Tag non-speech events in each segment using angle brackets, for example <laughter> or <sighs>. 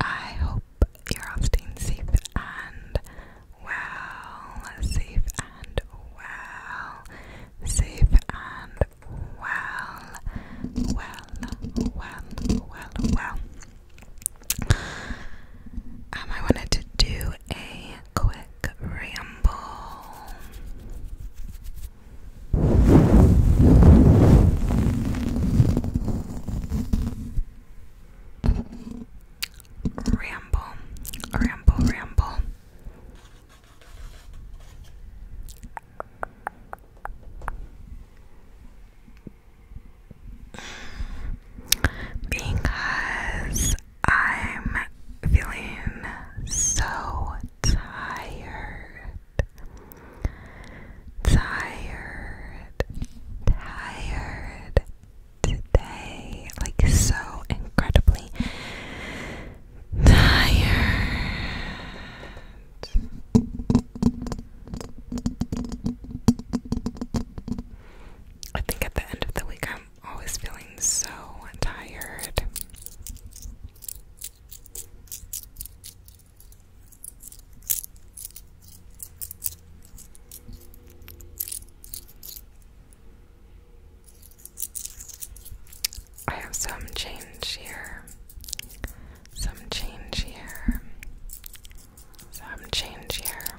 I hope you're all staying safe and well, safe and well, safe and well, well, well, well, well. Um, I wanted to do a quick ramble. Ramble, ramble, ramble. Because I'm feeling so tired, tired, tired today. Like, so incredibly tired. I think at the end of the week, I'm always feeling so tired. I have some change here, some change here, some change here.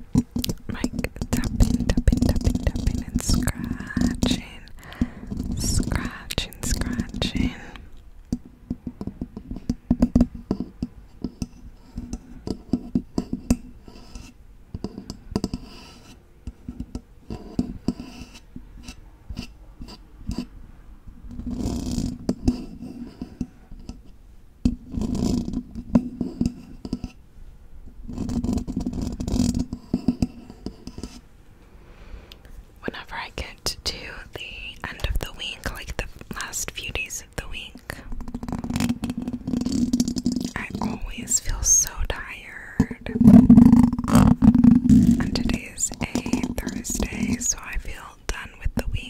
like tapping, tapping, tapping, tapping, and scratching, scratching. Scratching, Whenever I get to the end of the week, like the last few days of the week, I always feel so tired. And today is a Thursday, so I feel done with the week.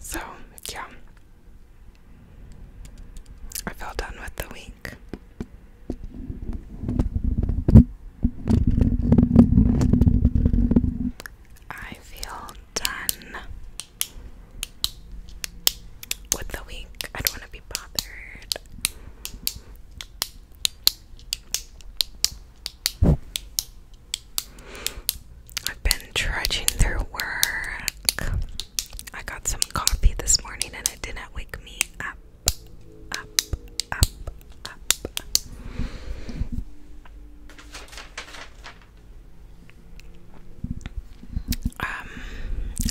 So, yeah. I feel done with the week. I feel done with the week. I don't want to be bothered. I've been trudging through work. I got some coffee this morning and it didn't wake me up. Up, up, up. Um,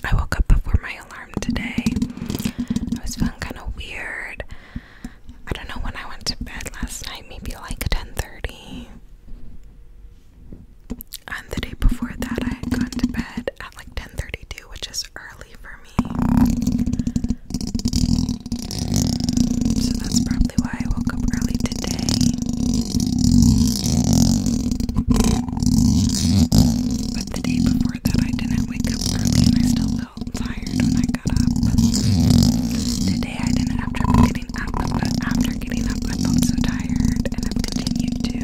I woke up before my today. I was feeling kind of weird. I don't know when I went to bed last night, maybe like 10:30. And the day before that, I had gone to bed at like 10:32, which is early for me. So that's probably why I woke up early today. But the day before that, I didn't wake up early and I still so tired I got Today I didn't after getting up, but after getting up I felt so tired and i continued to.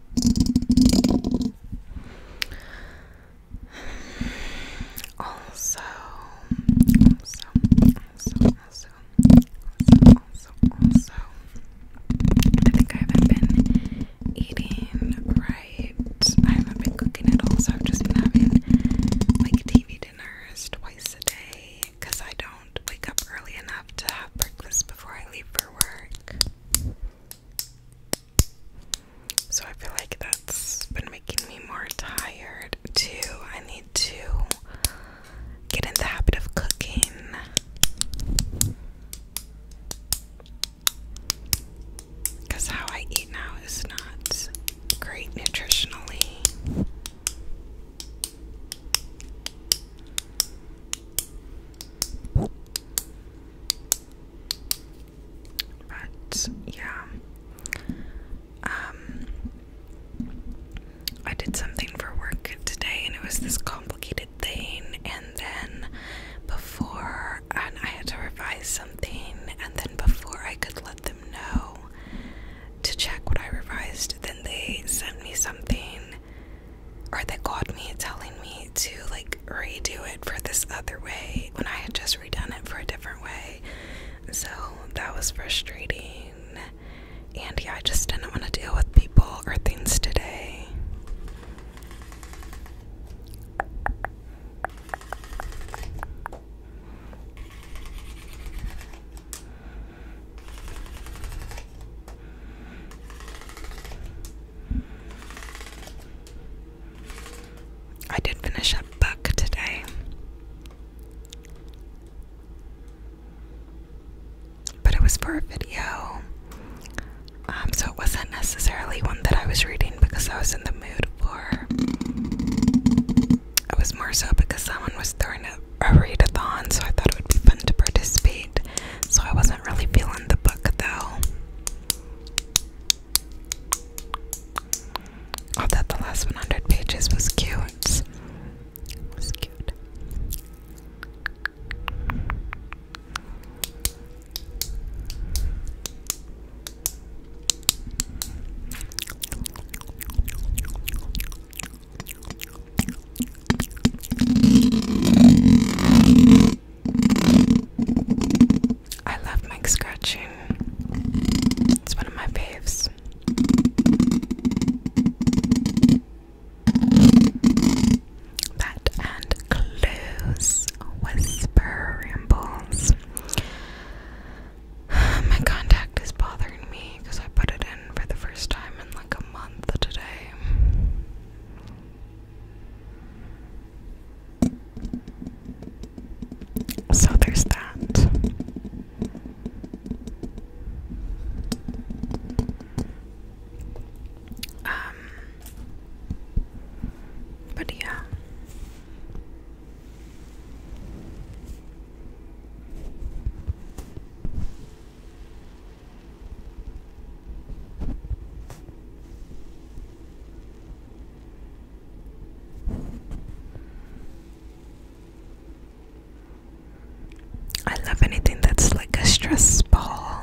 Also, also, also, also, also, also, I think I haven't been eating right. I haven't been cooking at all, so I've just been having like TV dinners twice a day because I don't wake up early enough to have breakfast before I leave for work. So I feel like that's been making me more tired too. I need to get in the habit of cooking. Because how I eat now is not great nutritionally. But yeah. Um I did something for work today and it was this complicated thing and then before and I had to revise something and then before I could let them know to check what I revised then they sent me something or that called me telling me to like redo it for this other way when I had just redone it for a different way. So that was frustrating. And yeah, I just didn't want to deal with people or things today. I did finish a book today. But it was for a video. Um, so it wasn't necessarily one that I was reading because I was in the mood for. It was more so because someone was throwing a, a readathon, so I thought it would be fun to participate. So I wasn't really feeling the book though. I the last 100 pages was cute. was cute. I love mic scratching. It's one of my faves. That and clues, whisper rambles. <sighs> My contact is bothering me because I put it in for the first time in like a month today. So there's that. Um, but yeah. I love anything that's like a stress ball.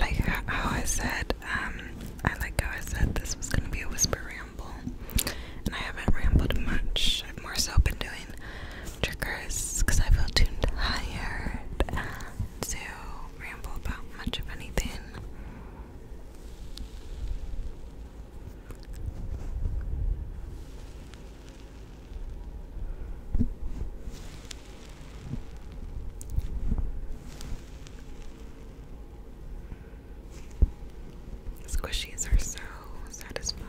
Like how I said, um, I like how I said this was gonna be a whisper ramble, and I haven't rambled much. I've more so been doing triggers because I feel too tired to ramble about much of anything. Squishies are so satisfying.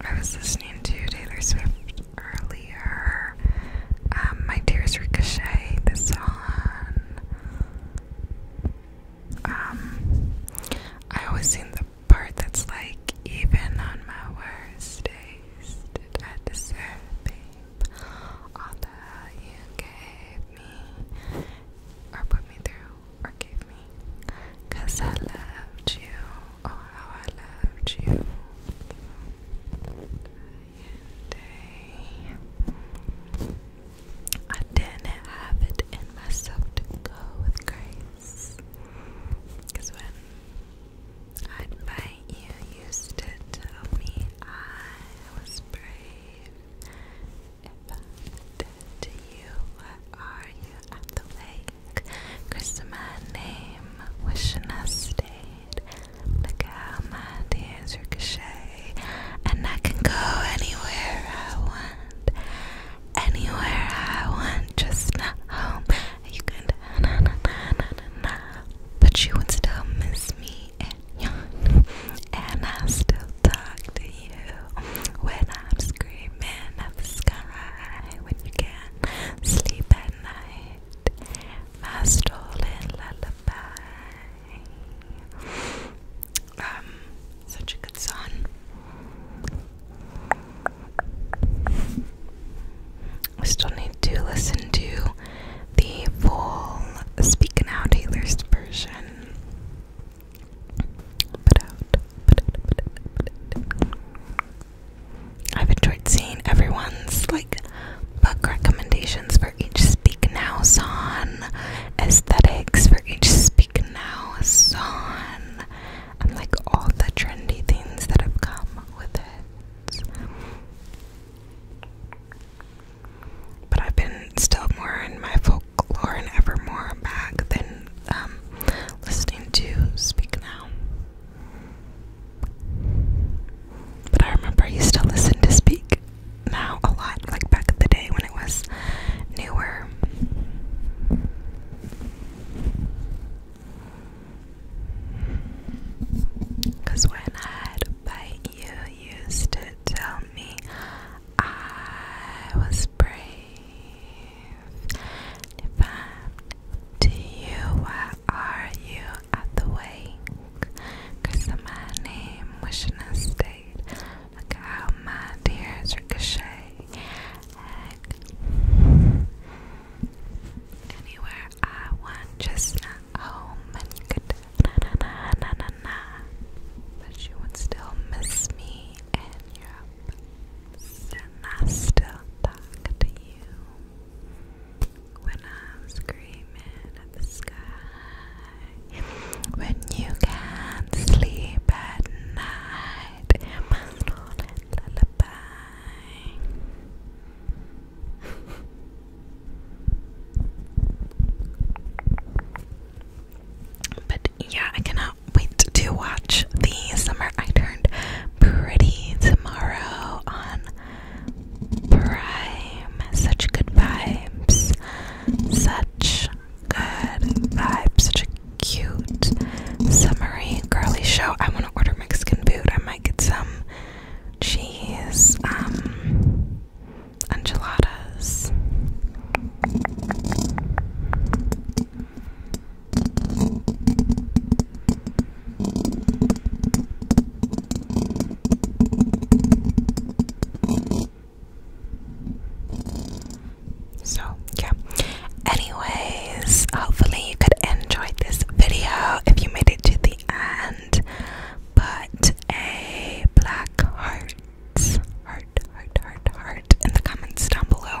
I was listening to Taylor Swift earlier. Um, my tears ricochet the song. Um, I always sing the part that's like, even on my worst days, did I deserve being all that you gave me, or put me through, or gave me. Cause I loved you, oh how I loved you. Day. I didn't have it in myself to go with grace. when I'd you, used to tell me I was brave. If I did to you, what are you at the lake? my name, wishing I stayed. Look how my tears ricochet, and I can go anywhere I want. Anywhere I want, just not home. You can but you would still miss me and <laughs> and I still talk to you when I'm screaming at the sky. When you can't sleep at night, my stolen lullaby. Um, such a good song. I still need to listen to the full Speak Now Taylor's version. I've enjoyed seeing everyone's like book recommendations for each Speak Now song, aesthetics for each Speak Now song, and like all the trendy things that have come with it. But I've been still more in my folklore and ever more back than um, listening to Speak Now. But I remember I used to listen to Speak Now a lot, like back in the day when it was newer. Cause when I had a bite, you used to tell me I was brave. If I'm to you, why are you at the wake? Cause of my name, wishing I stayed. Look how my tears ricochet anywhere I want, just not home and you could na na na na na. But you would still miss me in Europe, and I still talk to you when I'm screaming at the sky. When you can't sleep at night, lullaby. But yeah, I cannot wait to watch the summer I turned pretty tomorrow on Prime. Such good vibes. Such good vibes. Such a cute, summery, girly show. I want to order Mexican food. I might get some cheese, um, enchiladas. So, yeah. Anyway, Hopefully, you could enjoy this video if you made it to the end. Put a black heart, heart, heart, heart, heart in the comments down below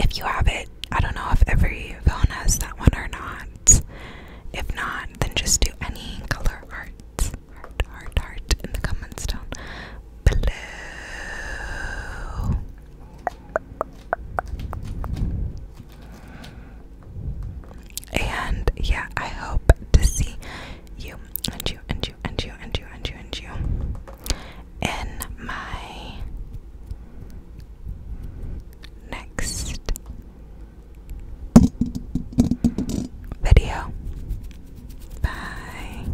if you have it. I don't know if every phone has that one or not. If not, then just do any color art, heart, heart, heart in the comments down below. And yeah, I hope to see you and you and you and you and you and you and you in my next video. Bye.